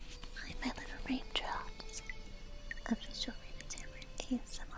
Hi, my little raindrops. Official Raven Tavern ASMR.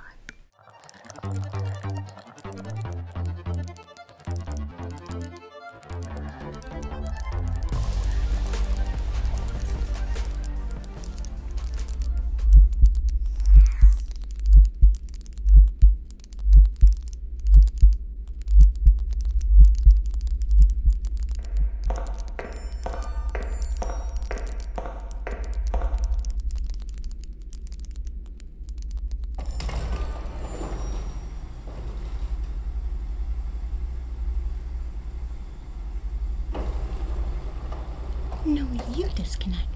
No, you disconnect.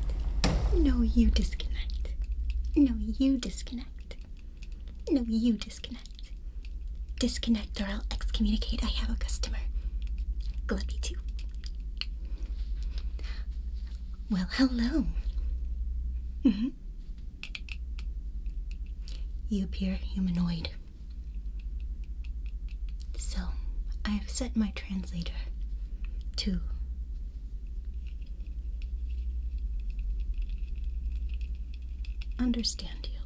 No, you disconnect. No, you disconnect. No, you disconnect disconnect. Disconnect or I'll excommunicate. I have a customer. Gluppy too. Well, hello. -hmm. You appear humanoid. So, I've set my translator to understand you.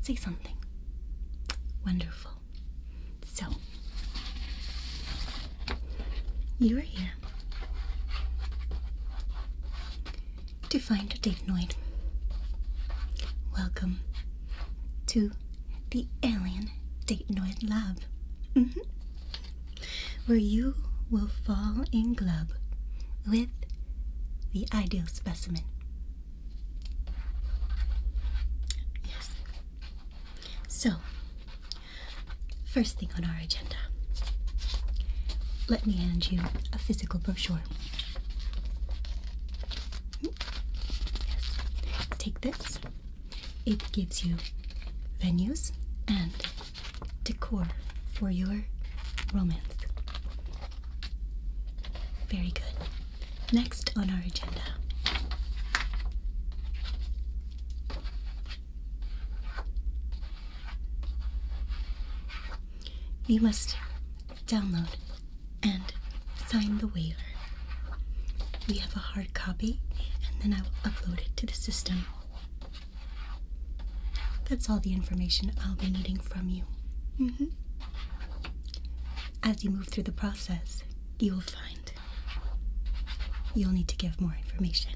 Say something. Wonderful. So, you are here to find a Datanoid. Welcome to the Alien Datanoid Lab, mm where you will fall in love with the ideal specimen. Yes. So, first thing on our agenda. Let me hand you a physical brochure. Yes. Take this. It gives you venues and decor for your romance. Very good. Next on our agenda. You must download and sign the waiver. We have a hard copy, and then I will upload it to the system that's all the information I'll be needing from you. Mm-hmm. As you move through the process, you will find you'll need to give more information.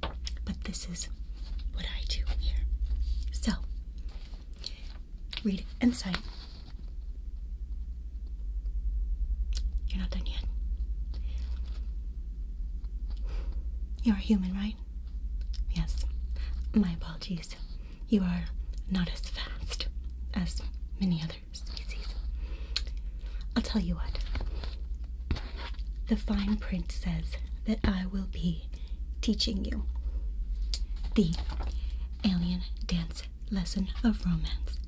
But this is what I do here. So, read and sign. You're not done yet. You're human, right? Yes, my apologies. You are not as fast as many other species. I'll tell you what. The fine print says that I will be teaching you the alien dance lesson of romance.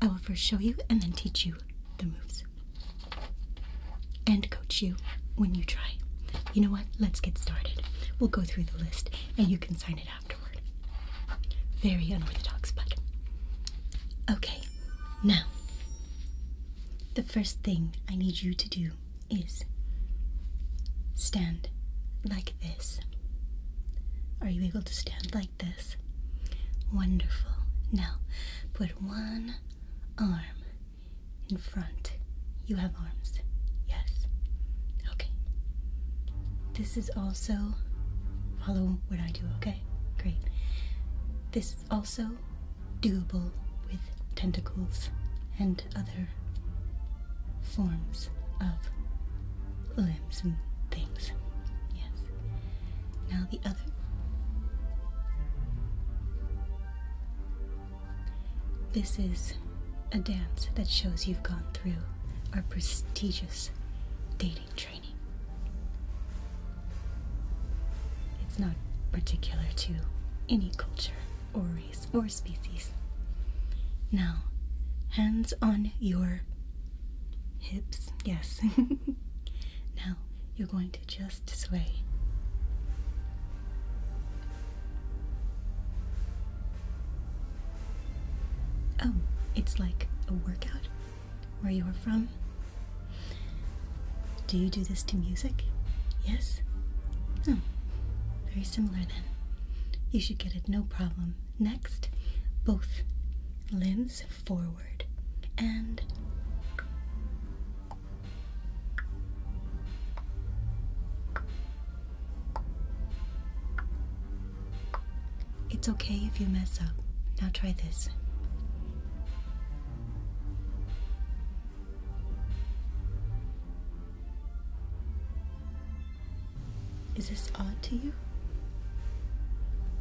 I will first show you and then teach you the moves and coach you when you try. You know what? Let's get started. We'll go through the list and you can sign it afterward. Very unorthodox, but. Okay, now, the first thing I need you to do is stand like this. Are you able to stand like this. Wonderful. Now, put one arm in front. You have arms. Yes. Okay. This is also. Follow what I do, okay? Great. This is also doable with tentacles and other forms of limbs and things. Yes. Now the other. This is a dance that shows you've gone through our prestigious dating training. It's not particular to any culture or race or species. Now, hands on your hips. Yes. now, you're going to just sway. Oh, it's like a workout where you're from. Do you do this to music? Yes? Oh, very similar then. You should get it no problem. Next, both limbs forward it's okay if you mess up. Now try this. Is this odd to you?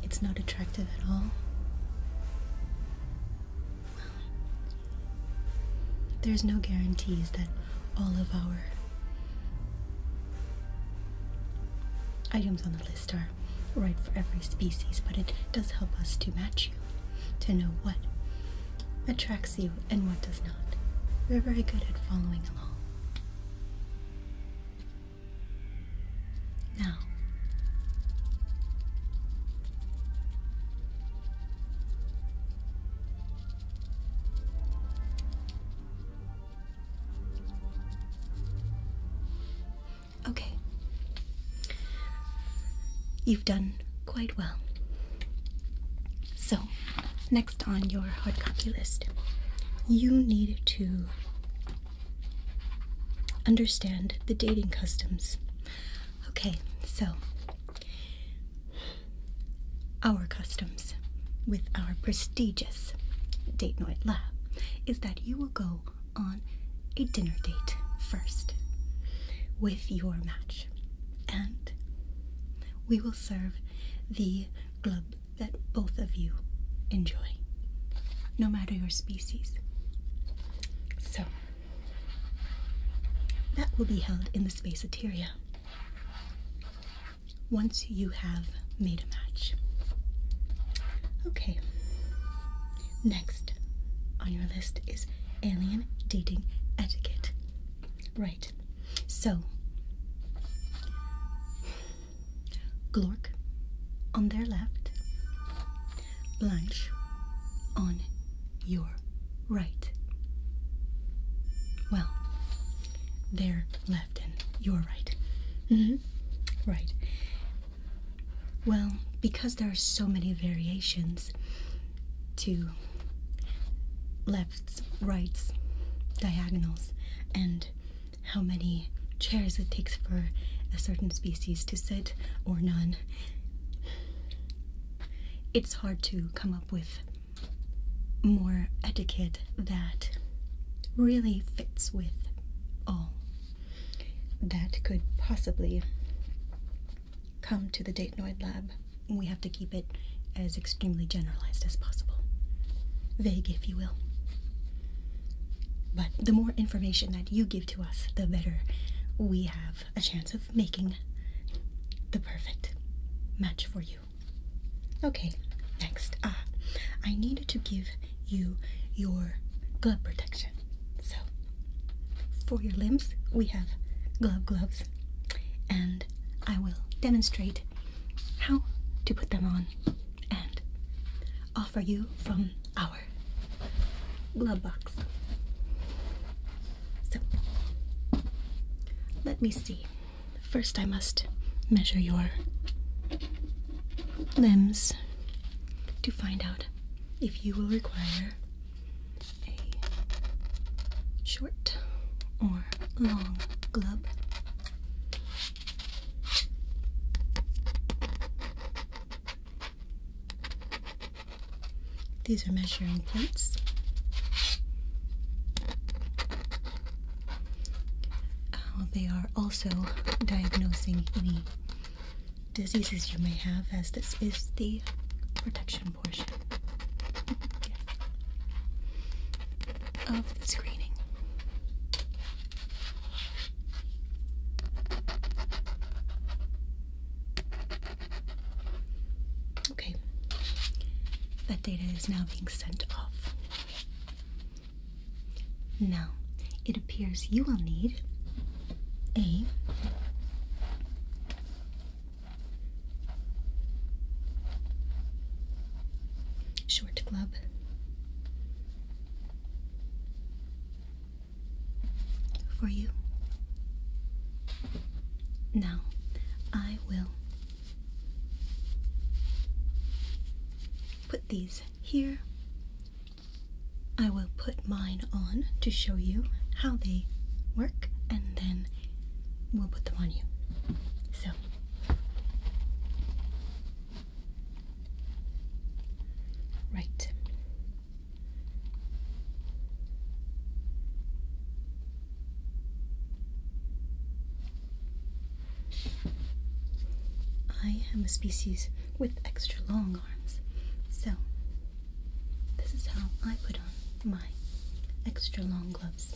It's not attractive at all. There's no guarantees that all of our items on the list are right for every species, but it does help us to match you, to know what attracts you and what does not. We're very good at following along. No. okay, you've done quite well. So, next on your hard copy list, you need to understand the dating customs. Okay, so our customs with our prestigious date night lab is that you will go on a dinner date first with your match, and we will serve the glub that both of you enjoy, no matter your species. So, that will be held in the spaceteria once you have made a match. Okay, next on your list is alien dating etiquette. Right, so Glork on their left, Blanche, on your right. Well, their left and your right. Mm hmm Right. Well, because there are so many variations to lefts, rights, diagonals, and how many chairs it takes for a certain species to sit or none. It's hard to come up with more etiquette that really fits with all that could possibly come to the Datenoid lab. We have to keep it as extremely generalized as possible. Vague, if you will. But the more information that you give, to us, the better we have a chance of making the perfect match for you. Okay, next. Ah, I need to give you your glove protection. So, for your limbs, we have glove gloves, and I will demonstrate how to put them on and offer you from our glove box. So, let me see. First, I must measure your limbs to find out if you will require a short or long glove. These are measuring plates. Uh, they are also diagnosing any diseases you may have, as this is the protection portion of the screening. Okay, that data is now being sent off. Now, it appears you will need a short club for you. Now, I will put these here. I will put mine on to show you how they work and then we'll put them on you. So, Right. I am a species with extra long arms, so this is how I put on my extra long gloves.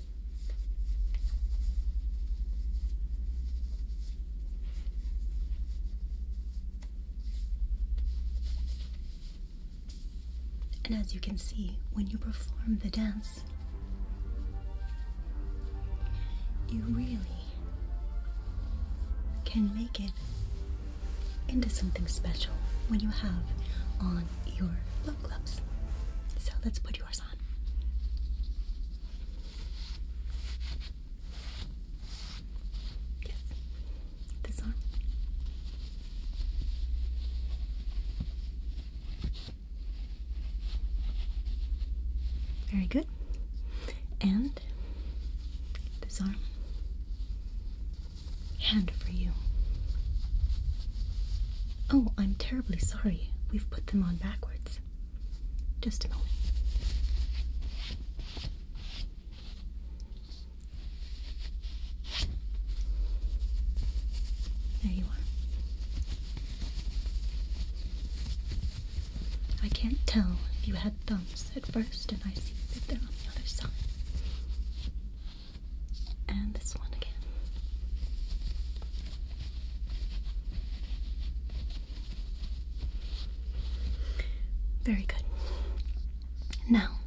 And as you can see, when you perform the dance, you really can make it into something special when you have on your love gloves. So let's put your flowers on. Yes. This one. Very good. And this arm. Hand for you. Oh, I'm terribly sorry. We've put them on backwards. Just a moment. There you are. I can't tell if you had thumbs at first, and I see that they're on the other side. And this one again. Very good. Now,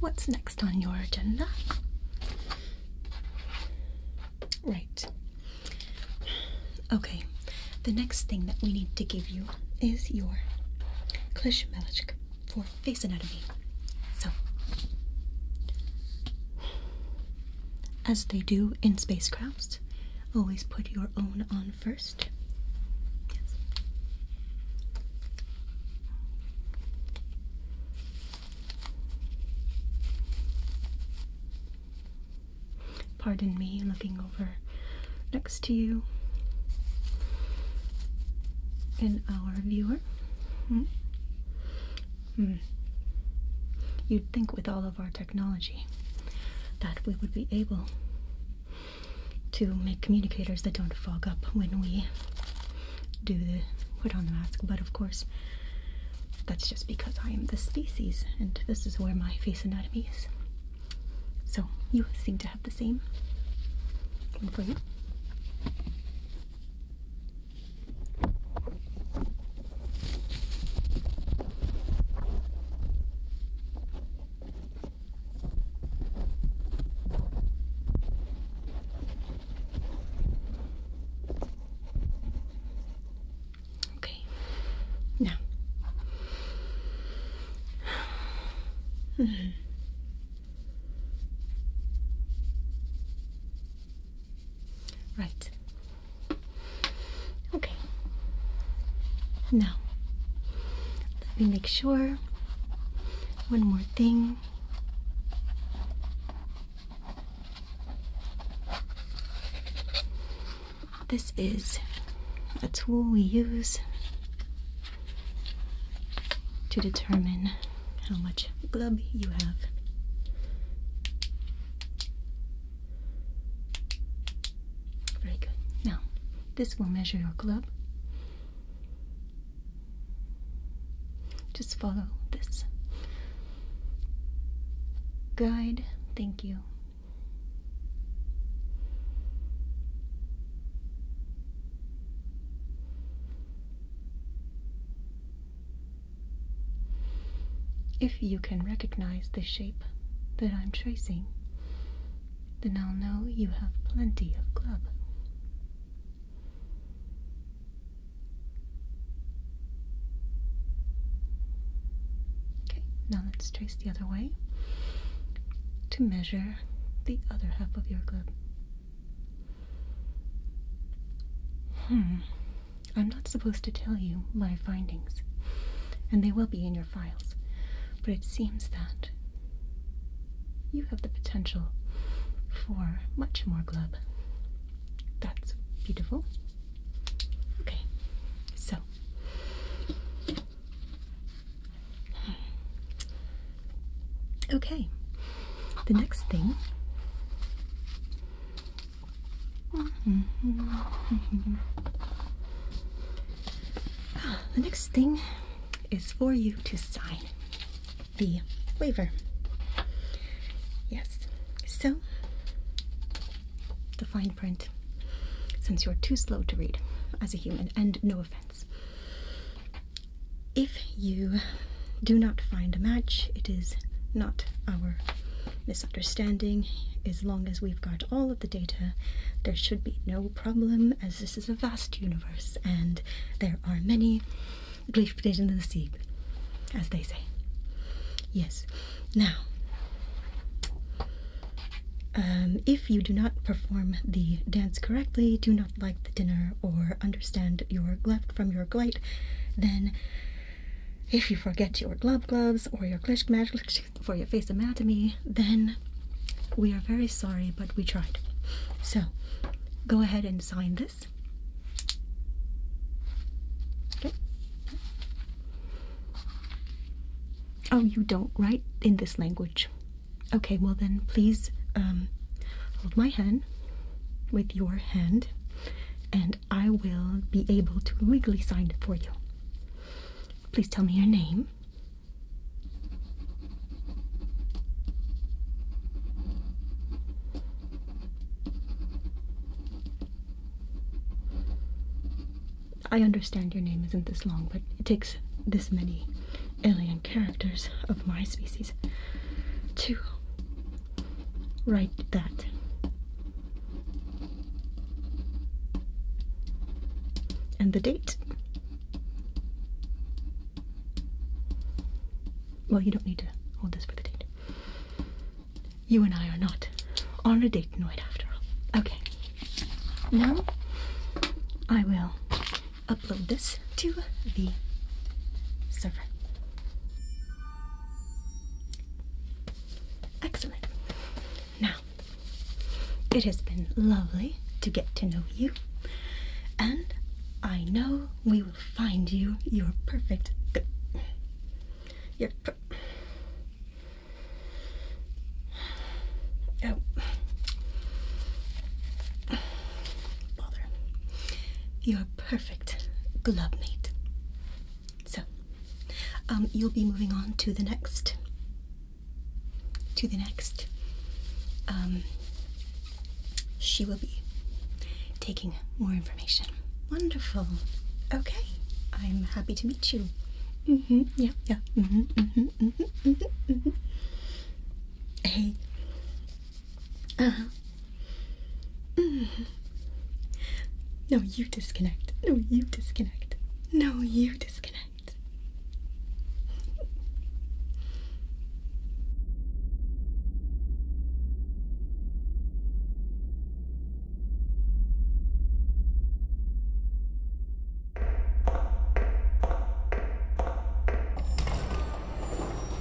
what's next on your agenda? Right. Okay, the next thing that we need to give you is your Klishmelichk for face anatomy. So, as they do in spacecrafts. Always put your own on first. Pardon me looking over next to you in our viewer. Hmm? Hmm. You'd think with all of our technology that we would be able to make communicators that don't fog up when we do the put on the mask, but of course, that's just because I am the species and this is where my face anatomy is. So you seem to have the same. One for you. Okay. Now. -hmm. Right. Okay. Now, let me make sure. One more thing. This is a tool we use to determine how much glub you have. Very good. Now, this will measure your glove. Just follow this guide. Thank you. If you can recognize the shape that I'm tracing, then I'll know you have plenty of club. Okay, now let's trace the other way to measure the other half of your club. Hmm, I'm not supposed to tell you my findings, and they will be in your files, but it seems that you have the potential for much more glub. That's beautiful. Okay, so hmm. okay, the next thing the next thing is for you to sign the waiver. Yes, so the fine print, since you're too slow to read as a human, and no offense. If you do not find a match. It is not our misunderstanding. As long as we've got all of the data, there should be no problem, as this is a vast universe and there are many gleefdays in the sea, as they say. Yes. Now, um, if you do not perform the dance correctly, do not like the dinner, or understand your left from your right, then if you forget your glove gloves or your Klishk magic for your face anatomy, then we are very sorry, but we tried. So go ahead and sign this. Okay. Oh, you don't write in this language. Okay, well then please um, hold my hand with your hand and I will be able to legally sign it for you. Please tell me your name. I understand your name isn't this long, but it takes this many alien characters of my species to write that. And the date. Well, you don't need to hold this for the date. You and I are not on a date tonight, after all. Okay. Now, I will upload this to the server. Excellent. Now, it has been lovely to get to know you, and I know we will find you your perfect. Your per oh. Bother. Your you're a perfect glove mate. So, um, you'll be moving on to the next, to the next. Um, she will be taking more information. Wonderful. Okay, I'm happy to meet you. Mm-hmm. Yeah. Yeah. Mm-hmm, mm-hmm, hey, uh huh. Mm-hmm. No, you disconnect. No, you disconnect. No, you disconnect.